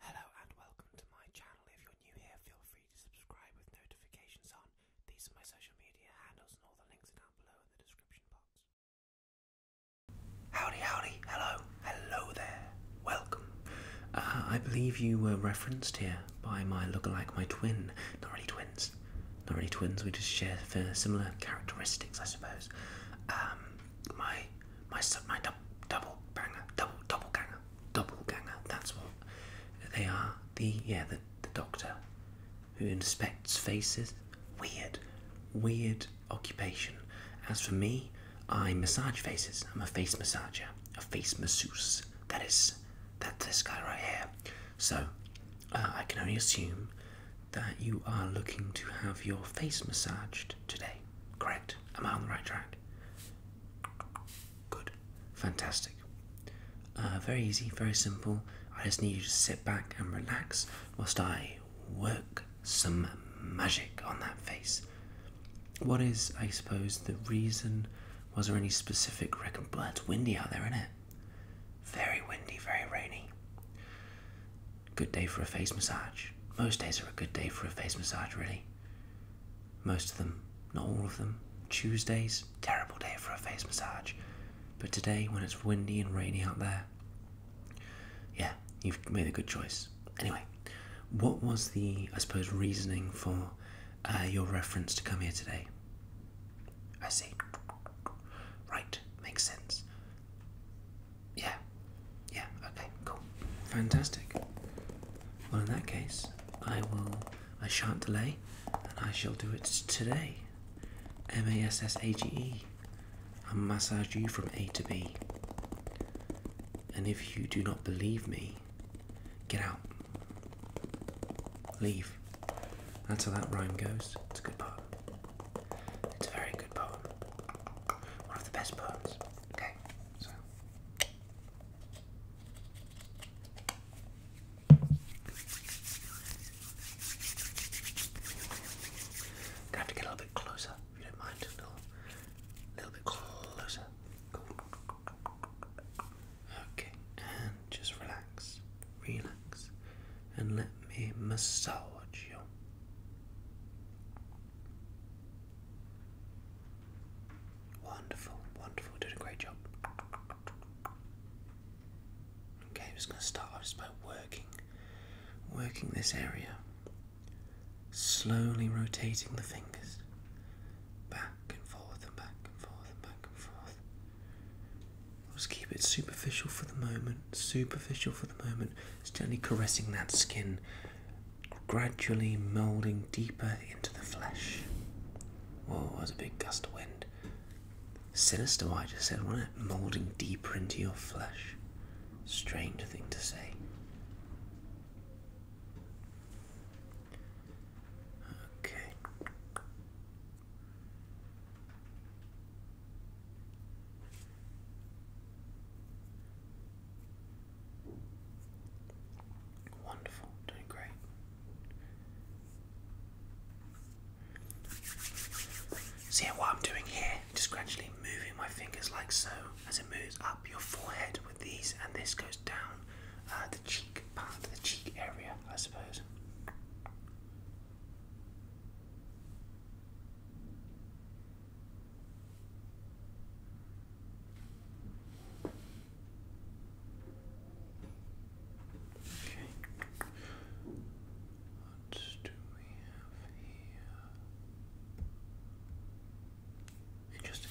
Hello and welcome to my channel. If you're new here, feel free to subscribe with notifications on. These are my social media handles, and all the links are down below in the description box. Howdy, howdy, hello, hello there, welcome. Uh, I believe you were referenced here by my look-alike, my twin. Not really twins, not really twins, we just share uh, similar characteristics, I suppose. Um, my my my dub, double banger, double double ganger, double ganger. That's what they are. The yeah, the the doctor who inspects faces. Weird, weird occupation. As for me, I massage faces. I'm a face massager, a face masseuse. That is that this guy right here. So uh, I can only assume that you are looking to have your face massaged today. Correct. Am I on the right track? Good. Fantastic. Uh, very easy, very simple. I just need you to sit back and relax whilst I work some magic on that face. What is, I suppose, the reason? Was there any specific record? Well, it's windy out there, isn't it? Very windy, very rainy. Good day for a face massage. Most days are a good day for a face massage, really. Most of them, not all of them. Tuesdays, terrible day for a face massage. But today, when it's windy and rainy out there, yeah, you've made a good choice. Anyway, what was the, I suppose, reasoning for uh, your reference to come here today? I see. Right, makes sense. Yeah. Yeah, okay, cool. Fantastic. Well, in that case, I will. I shan't delay, and I shall do it today. M A S S A G E. I massage you from A to B. And if you do not believe me, get out. Leave. That's how that rhyme goes. It's a good poem. It's a very good poem. One of the best poems. Okay, so Gonna have to get a little bit closer, if you don't mind. A little, little bit closer. Okay, and just relax, relax, and let me massage you. Wonderful, wonderful, doing a great job. Okay, I'm just going to start off just by working, working this area, slowly rotating the fingers back and forth and back and forth and back and forth. I'll just keep it superficial for the moment, superficial for the moment, just gently caressing that skin gradually moulding deeper into the flesh. Oh, that was a big gust of wind. Sinister I just said, wasn't it? Moulding deeper into your flesh. Strange thing to say. Okay. Wonderful, doing great. See what I'm doing here? Just gradually moving my fingers like so as it moves up your forehead with these, and this goes down uh, the cheek part, the cheek area, I suppose. Okay. What do we have here? Interesting.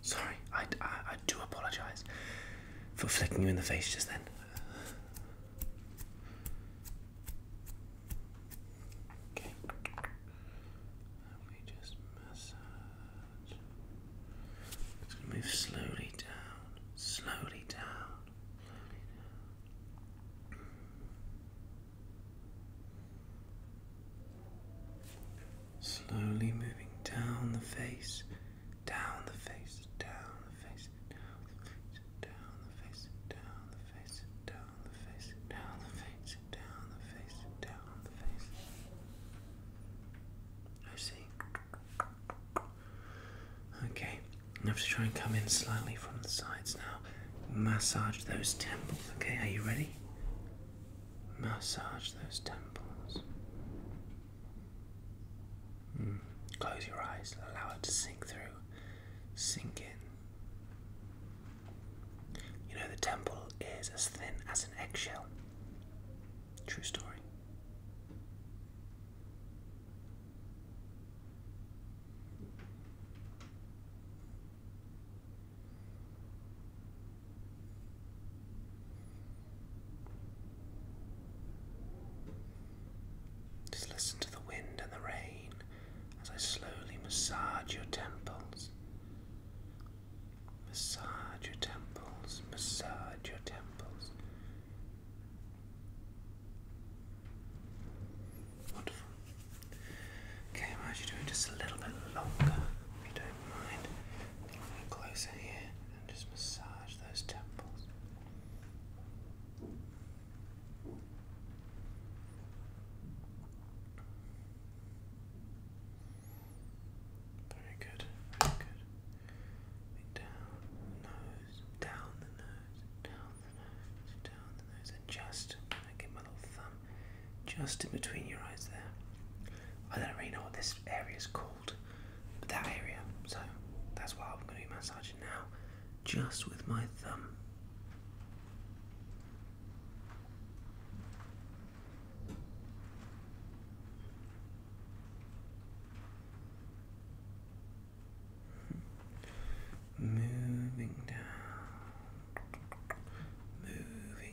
Sorry, I, I, do apologize for flicking you in the face just then. Okay. We just massage. It's move slowly down, slowly down. Slowly moving down the face, down the face, down the face, down the face, down the face, down the face, down the face, down the face, down the face, down the face. I see. Okay, now to try and come in slightly from the sides now. Massage those temples. Okay, are you ready? Massage those temples. Hmm. Close your eyes, allow it to sink through, sink in. You know, the temple is as thin as an eggshell. True story. Just listen to the wind and the rain as I slowly massage your temples. Massage your temples, massage your temples. Wonderful. Okay, I might you do it just a little bit longer if you don't mind closer here and just massage those temples. Very good, very good. Down nose, down the nose, down the nose, down the nose, and just, I my little thumb just in between your eyes there. I don't really know what this area is called that area so that's why I'm going to be massaging now just with my thumb Moving down, moving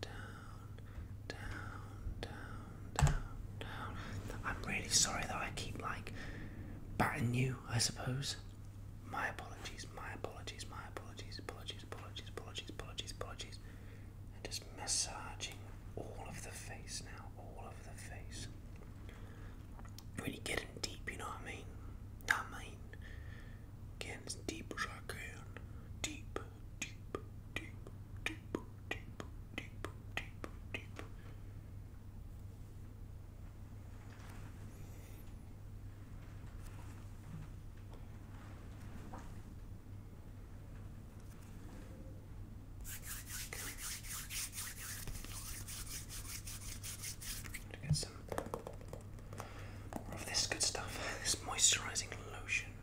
down, down, down, down, down. I'm really sorry that I keep like batting you, I suppose. My apologies, my apologies, my apologies, apologies, apologies, apologies, apologies, apologies. And just massaging all of the face now, all of the face. Really getting deep, you know what I mean? I mean, getting as deep as I can. Deep, deep, deep, deep, get some of this good stuff, this moisturizing lotion.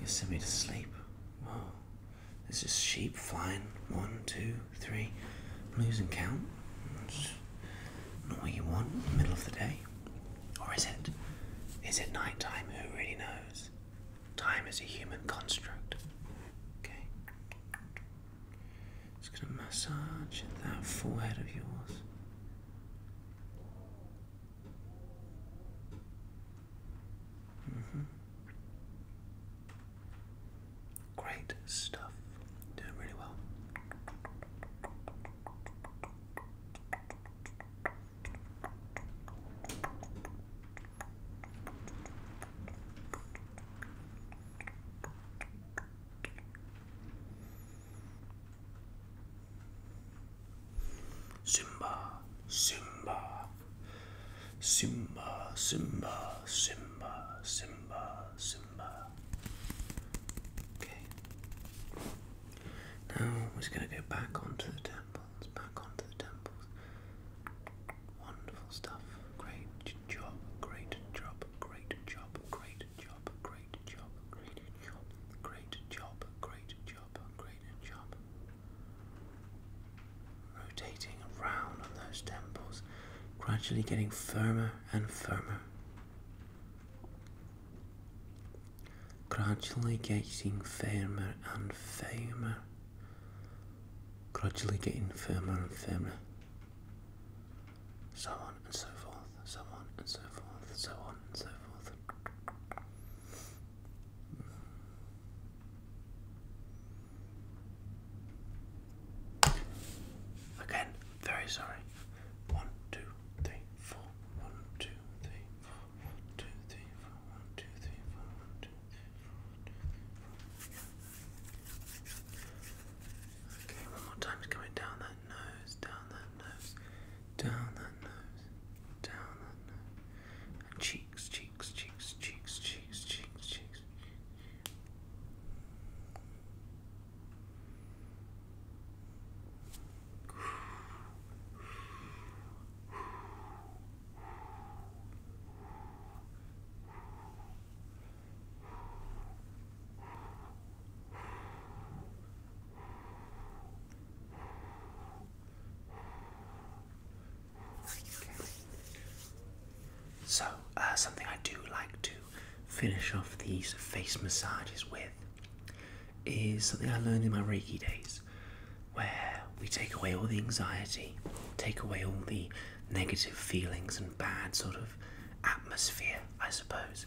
You sent me to sleep. Whoa. There's just sheep flying. One, two, three. I'm losing count. It's not you want in the middle of the day. Or is it? Is it nighttime? Who really knows? Time is a human construct. Okay. Just gonna massage that forehead of yours. Mm -hmm. Great stuff. Doing really well. Simba, Simba, Simba, Simba, Simba, Simba, Okay. Now we're just going to go back onto the temples, back onto the temples. Wonderful stuff. Great job, great job, great job, great job, great Great job, great job, great job, great job, great job. Rotating around on those temples, gradually getting firmer and firmer. Gradually getting firmer and firmer. Gradually getting firmer and firmer. So on and so forth so on and so forth, so on and so forth. Again, very sorry. One, two, three, four. One, two, three, four. One, two, three, four. One, two, three, four. One, two, three, four. One, two, three, four. Okay, one more time. coming down that nose, down that nose, down that nose, down that nose, cheeks, cheeks, cheeks, cheeks, cheeks, cheeks, cheeks. So, uh, something I do like to finish off these face massages with is something I learned in my Reiki days, where we take away all the anxiety, take away all the negative feelings and bad sort of atmosphere, I suppose,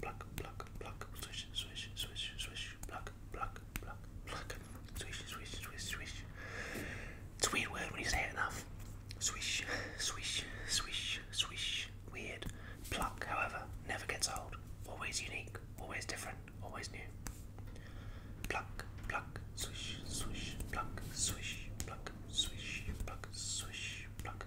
pluck, pluck, pluck, pluck, swish, swish, swish, swish, pluck, pluck, pluck, pluck, swish, swish, swish, swish. It's a weird word when you say it enough. Swish, swish, swish, swish. Weird. Pluck, however, never gets old. Always unique, always different, always new. Pluck, pluck, swish, swish, pluck, swish, pluck, swish, pluck, swish, pluck,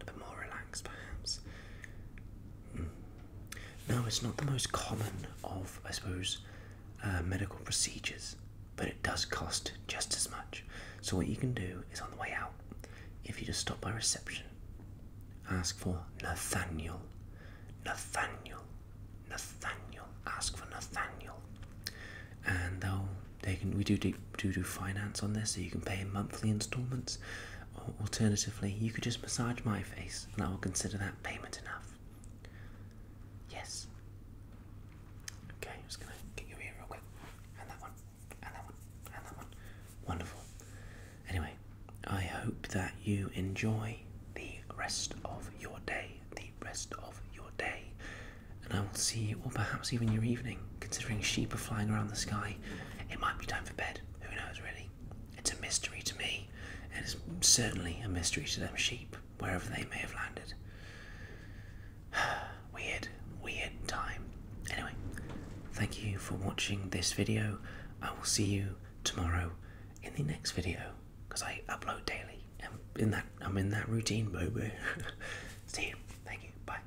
a bit more relaxed perhaps. Mm. No, it's not the most common of, I suppose, uh, medical procedures, but it does cost just as much. So, what you can do is on the way out, if you just stop by reception, ask for Nathaniel. Nathaniel. Nathaniel. Ask for Nathaniel. And they'll, they can, we do do, do do finance on this, so you can pay in monthly installments alternatively, you could just massage my face and I will consider that payment enough. Yes. Okay, I'm just gonna get your ear real quick. And that one, and that one, and that one. Wonderful. Anyway, I hope that you enjoy the rest of your day, the rest of your day. And I will see you, or perhaps even your evening. Considering sheep are flying around the sky, it might be time for bed. Who knows, really? It's a mystery to me, and it's certainly a mystery to them sheep, wherever they may have landed. weird, weird time. Anyway, thank you for watching this video. I will see you tomorrow in the next video because I upload daily. And in that I'm in that routine, baby. see you. Thank you. Bye.